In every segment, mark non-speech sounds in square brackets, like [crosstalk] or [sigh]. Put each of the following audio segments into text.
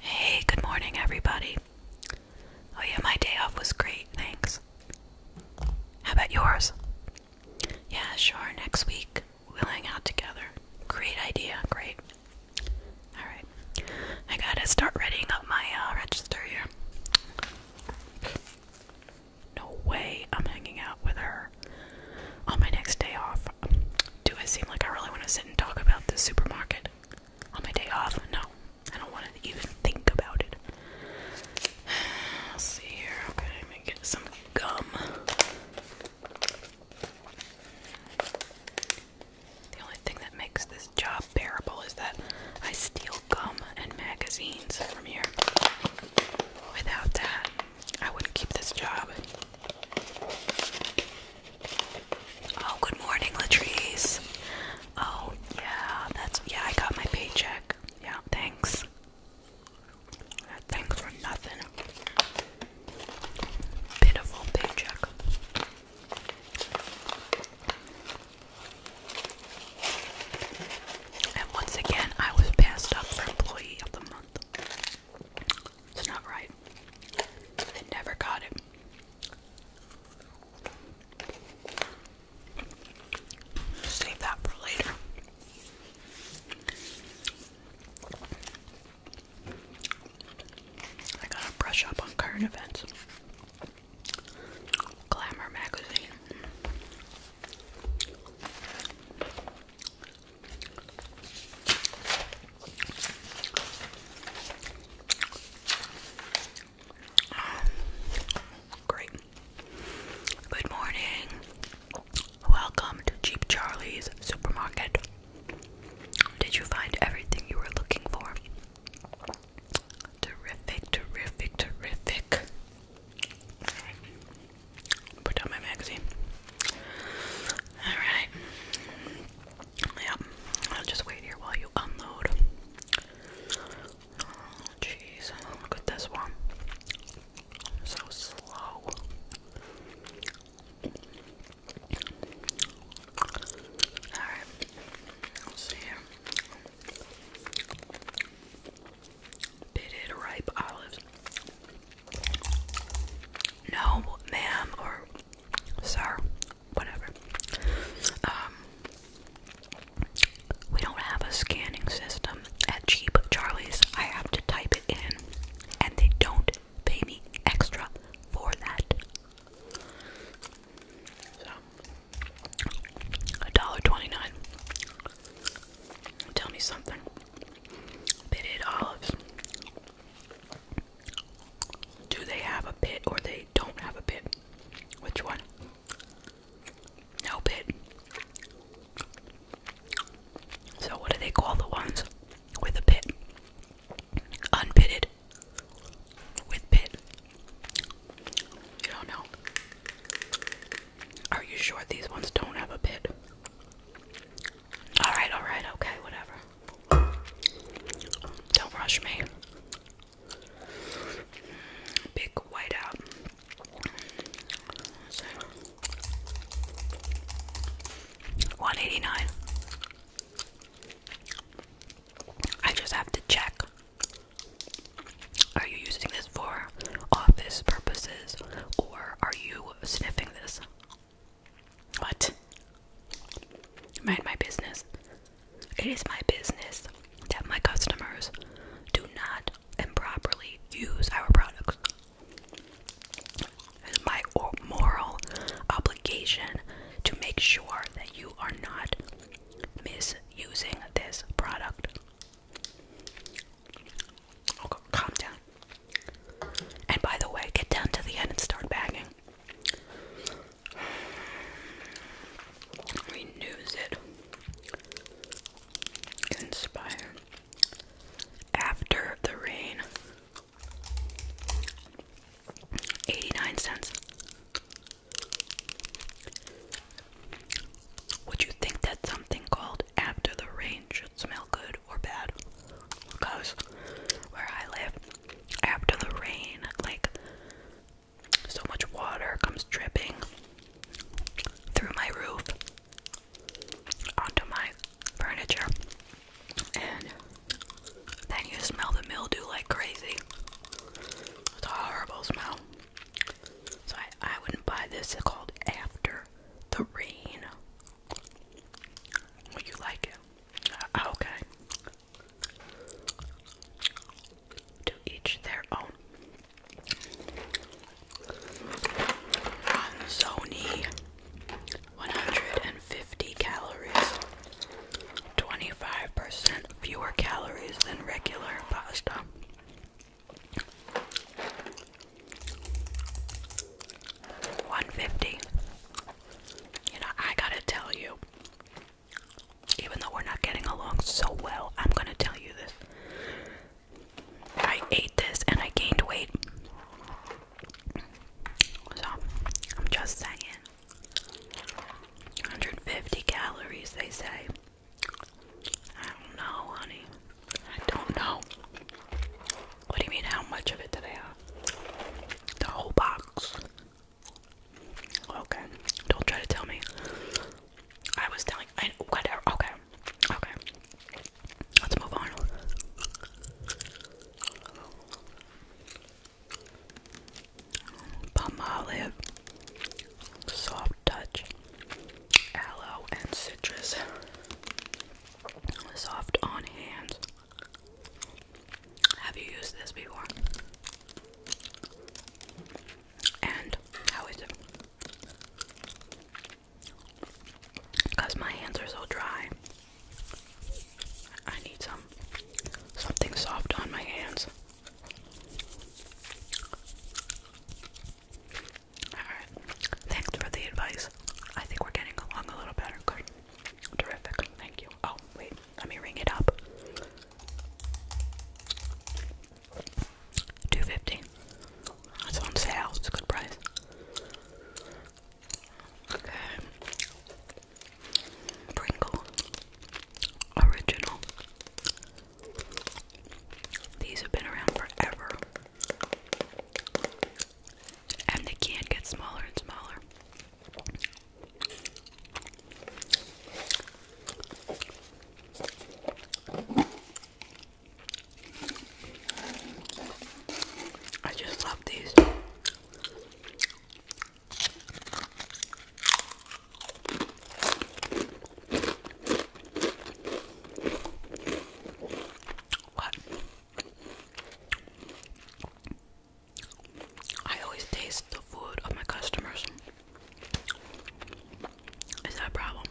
Hey, good morning, everybody. Oh, yeah, my day off was great, thanks. How about yours? Yeah, sure, next week we'll hang out together. Great idea, great. Alright, I gotta start readying up my uh, register here. No way I'm hanging out with her on my next day off. Do I seem like I really want to sit and talk about this supermarket on my day off? No, I don't want to even think about it. [sighs] Let's see here. Okay, I'm gonna get some gum. The only thing that makes this job bearable is that I steal gum and magazines from here. Without that, I wouldn't keep this job. Oh, good morning, Latrice. Oh, yeah, that's yeah. I got my paycheck. Yeah, thanks. Thanks for nothing. Pitiful paycheck. And once again, I was passed up for employee of the month. It's not right. I never got it. Save that for later. I gotta brush up on current events. Glamour magazine. Um, great. Good morning. Welcome to Cheap Charlie's supermarket. Did you find everything you were looking for? Terrific, terrific, terrific. Put down my magazine. Alright. Yeah, I'll just wait here while you unload. Oh, jeez, look at this one. So slow. Alright, see here. Pitted ripe olives. No, ma'am, or sir, whatever. Um, we don't have a scanning system at Cheap Charlie's. I have to type it in, and they don't pay me extra for that. So, a dollar twenty-nine. Tell me something. Pitted olives. Do they have a pit or they don't have a pit? Which one? No pit. So, what do they call the ones with a pit? Unpitted. With pit. You don't know. Are you sure these ones don't have a pit? All right, all right, okay, whatever. Don't rush me. Big white out. 189. I just have to check. Are you using this for office purposes or are you sniffing this? What? Mind my business. It is my business that my customers do not improperly use our products. It's my moral obligation to make sure that you are not misusing this product. calm down. And by the way, get down to the end and start bagging. Renews it. Inspire. After the rain. 89 cents. Would you think that something called After the Rain should smell good or bad? Because where I live, after the rain, like so much water comes dripping through my roof onto my furniture, and then you smell the mildew like crazy. It's a horrible smell. So I, I wouldn't buy this. It's called After the Rain. Would you like it? Oh, okay. To each their own. Ronzoni, 150 calories, 25% fewer calories than regular pasta. One fifty you know, I gotta tell you, even though we're not getting along so well, I'm gonna tell you this. I ate this and I gained weight. So, I'm just saying. 150 calories, they say. I don't know, honey. I don't know. What do you mean, how much of it did I have? The whole box. Okay, don't try to tell me. I was telling, I, whatever, okay, okay. Let's move on. Palm olive, soft touch, aloe and citrus, soft on hand, have you used this before? And how is it? Because my hands are so dry. I need some something soft on my hands. Alright. Thanks for the advice. I think we're getting along a little better. Terrific. Thank you. Oh, wait. Let me ring it up. 250. That's on sale. It's a good price. Okay. Pringle. Original. These have been around forever. And they can't get smaller and smaller. I just love these. What? I always taste the food of my customers. Is that a problem?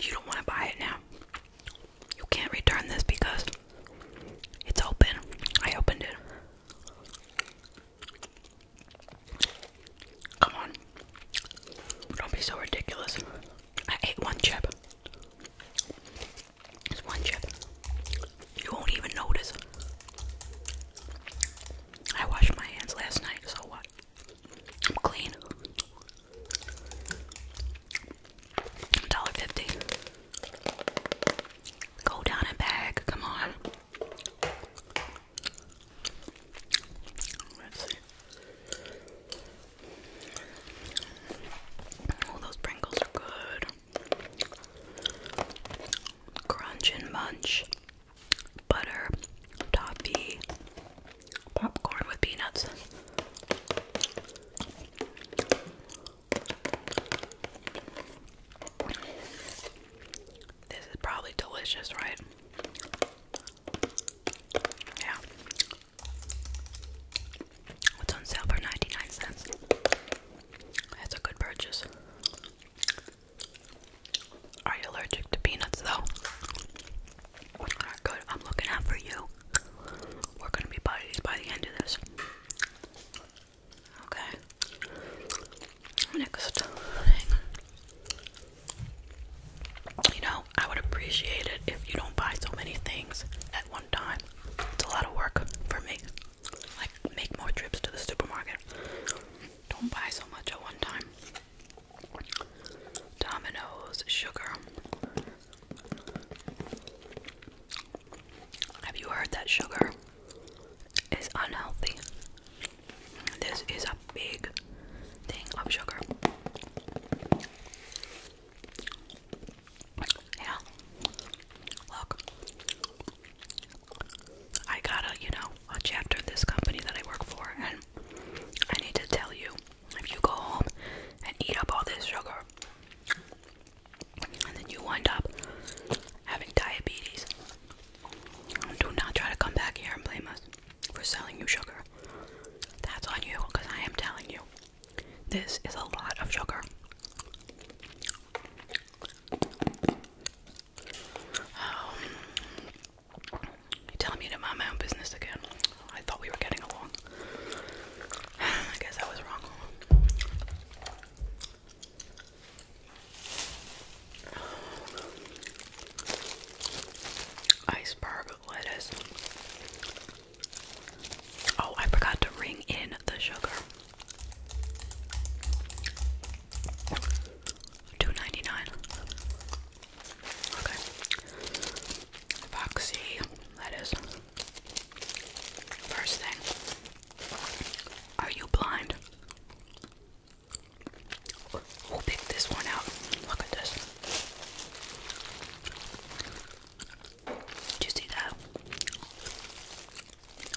You don't want to buy it now. You can't return this because it's open. I opened it. Come on. Don't be so ridiculous. I ate one chip. It's one chip. You won't even notice. I washed my hands last night, so what? I'm clean. $1.50. Go down and bag, come on. Oh, those Pringles are good. Crunch and munch. Butter, toffee, popcorn with peanuts. This is probably delicious, right? Yeah. It's on sale for 99 cents. That's a good purchase. Are you allergic to peanuts though? good. I'm looking out for you. We're gonna be buddies by the end of this. Okay. Next. You know, I would appreciate it if you don't buy so many things at one time. It's a lot of work for me. Like, make more trips to the supermarket. Don't buy so much at one time. Domino's, sugar. Have you heard that sugar is unhealthy? This is a big thing of sugar. Yeah. Look. I got a, you know, a chapter this company that I work for, and I need to tell you if you go home and eat up all this sugar, and then you wind up having diabetes, do not try to come back here and blame us for selling you sugar. That's on you, because I am telling you. This is a lot of sugar. Um, you telling me to mind my own business again? I thought we were getting along. [sighs] I guess I was wrong. Iceberg lettuce. Oh, I forgot to ring in the sugar. Two ninety nine. Okay. Foxy, that is. First thing. Are you blind? We'll pick this one out. Look at this. Did you see that?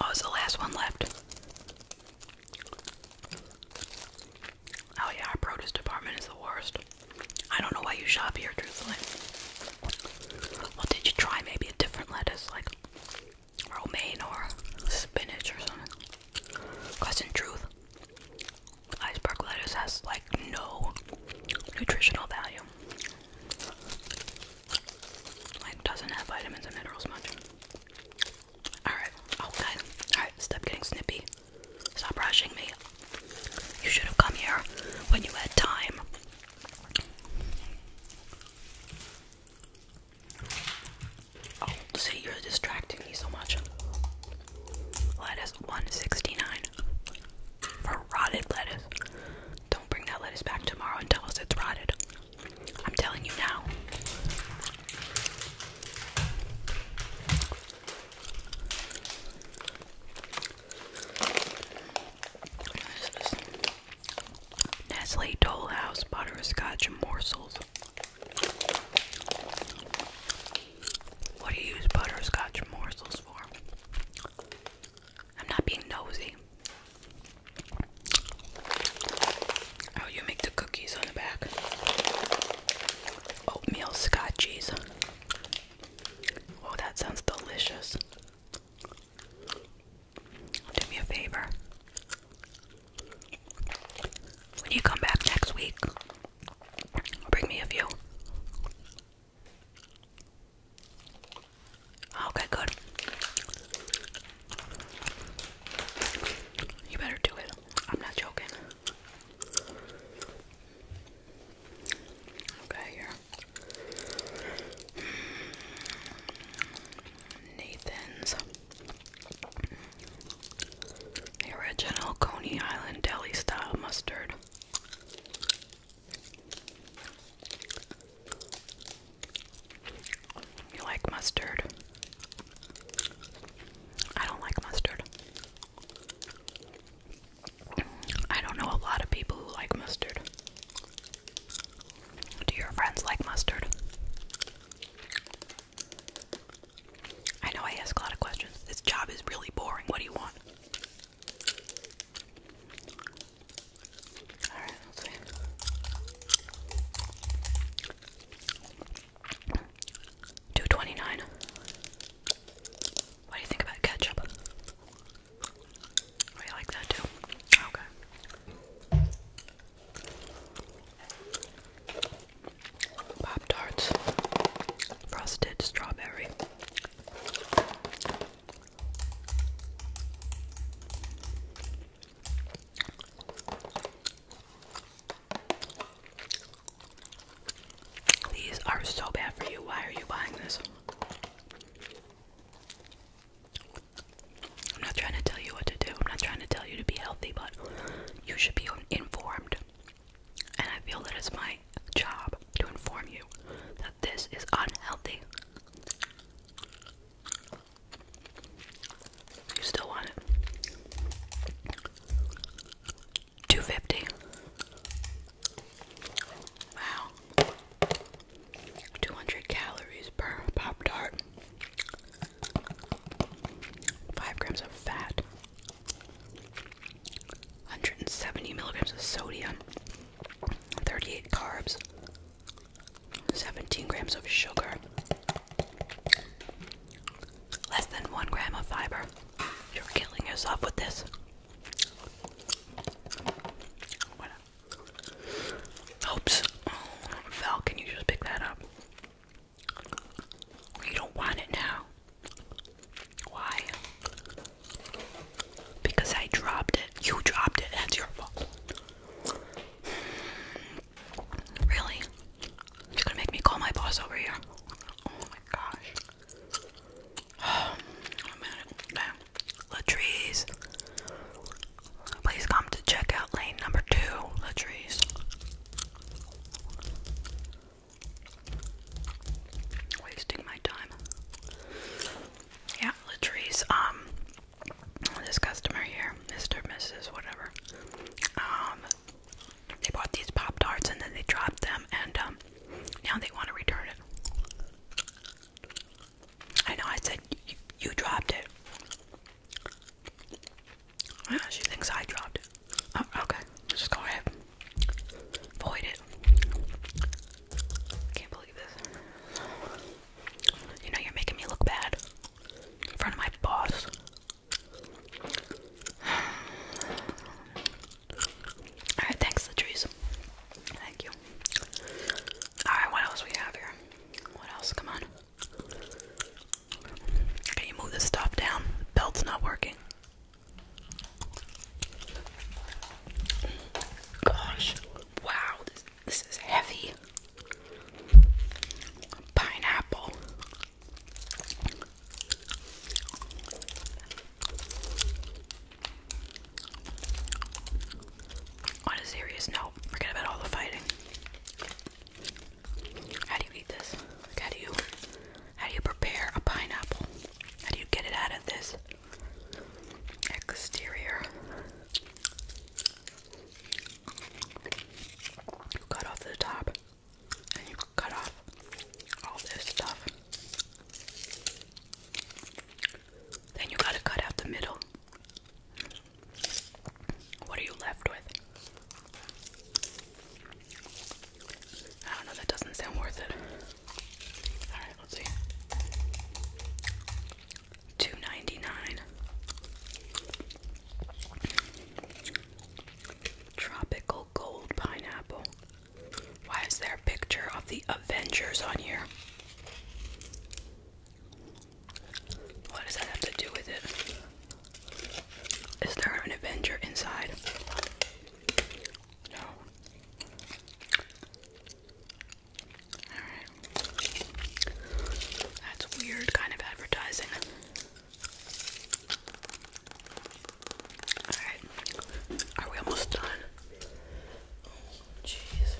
Oh, it's the last one left. Oh yeah, our produce department is the worst. I don't know why you shop here, truthfully. Well, did you try maybe a different lettuce, like romaine or spinach or something? Question: truth, iceberg lettuce has like no nutritional value. Like doesn't have vitamins and minerals much. Alright, oh guys, alright, stop getting snippy. Stop rushing me. You should have come here when you had time. Oh, see, you're distracting me so much. Lettuce 169 for rotted lettuce. Don't bring that lettuce back tomorrow and tell us it's rotted. I'm telling you now. Nestle Dole Butterscotch Morsels. What do you use butterscotch morsels for? I'm not being nosy. Oh, you make the cookies on the back. Oatmeal scotch cheese. Oh, that sounds delicious. Do me a favor. When you come back next week, bring me a few. Oh, okay, good. You better do it. I'm not joking. Okay, here. Nathan's. original Coney Island deli style mustard. You like mustard? I don't like mustard. I don't know a lot of people who like mustard. Do your friends like mustard? I know I ask a lot of questions. This job is really boring. What do you want? Two twenty nine. What do you think about ketchup? Oh, you like that too? Okay. Pop tarts, frosted strawberry. These are so bad for you. Why are you buying this? I'm not trying to tell you what to do. I'm not trying to tell you to be healthy, but you should be informed. And I feel that it's my job to inform you that this is unhealthy. You still want it? 250. Wow. 200 calories per Pop Tart. 5 grams of fat. 170 milligrams of sodium. 38 carbs, 17 grams of sugar, less than 1 gram of fiber. You're killing yourself with this. Oops. Val, can you just pick that up? You don't want it now. Why? Because I dropped it. You dropped it. That's your fault. Really? You're gonna make me call my boss over here. Oh my gosh. Oh, [sighs] i Please come to checkout lane number two, Latrice. Wasting my time. Yeah, Latrice, um, this customer here, Mr. Mrs. whatever, um, they bought these Pop Tarts and then they dropped them and, um, now they want to return it. I know, I said, you, dropped it. she thinks I dropped it. Oh, okay, just go ahead. Void it. Can't believe you know, you're making me look bad in front of my boss. [sighs] Alright, thanks, the Thank you. Alright, what else we have here? What else? Come on. Can you move this stuff down? Belt's not working. Gosh, wow, this, is heavy. Pineapple. On a serious note, forget about all the fighting. How do you eat this? how do you how do you prepare a pineapple? How do you get it out of this exterior. You cut off the top and you cut off all this stuff. Then you gotta cut out the middle. What are you left with? I don't know, that doesn't sound worth it. Two ninety nine. Tropical gold pineapple. Why is there a picture of the Avengers on here? What does that have to do with it? Is there an Avenger inside? No. That's weird kind of advertising. Alright. Are we almost done? Jeez.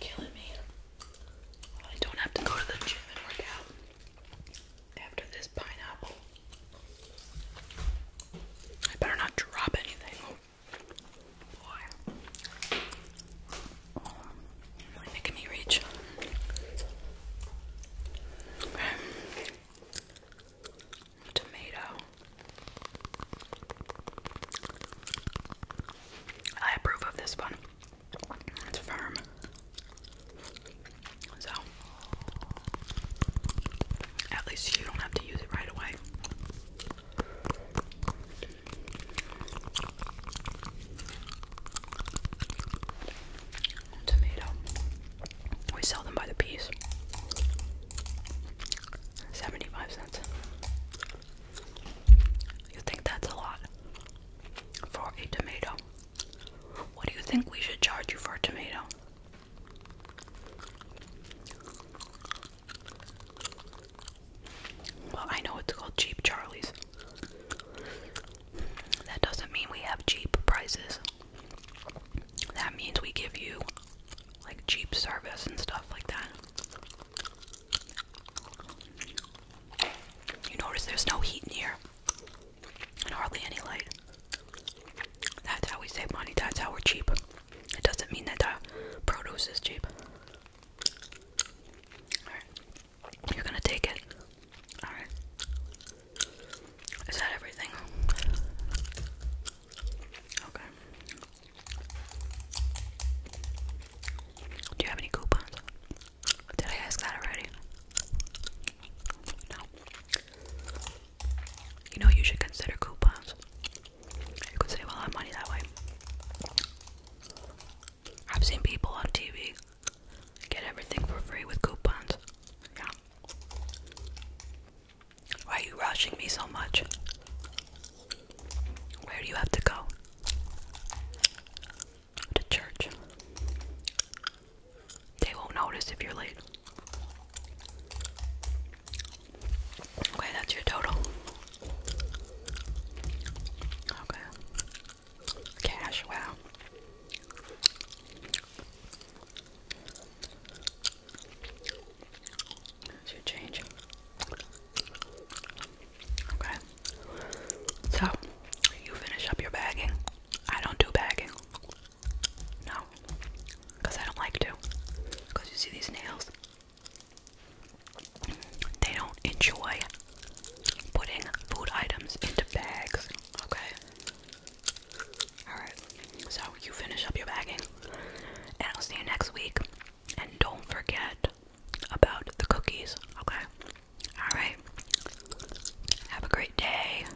killing me. I don't have to go to the gym and work out after this pineapple. I better not drop anything. Boy. really making me reach. Tomato. I approve of this one. It's firm. So, at least you don't have to use it right away. Tomato. We sell them by the piece. 75 cents. You think that's a lot for a tomato? What do you think we should charge you for a tomato? Well, I know it's called Cheap Charlie's. That doesn't mean we have cheap prices. That means we give you like cheap service and stuff like that. You notice there's no heat in here and hardly any light. That's how we save money, that's how we're cheap. It doesn't mean that the produce is cheap. You're gonna take it. Alright. Is that everything? Okay. Do you have any coupons? Did I ask that already? No. You know, you should consider coupons. You could save a lot of money that way. I've seen people on TV get everything for free with coupons. Yeah. Why are you rushing me so much? Where do you have to go? To church. They won't notice if you're late. Okay, that's your total. Okay. Cash, wow. That's your change. Okay. So, you finish up your bagging. I don't do bagging. No. Because I don't like to. Because you see these nails? They don't enjoy putting food items into bags. Okay. Alright. So you finish up your bagging. And I'll see you next week. And don't forget about the cookies. Okay. Alright. Have a great day.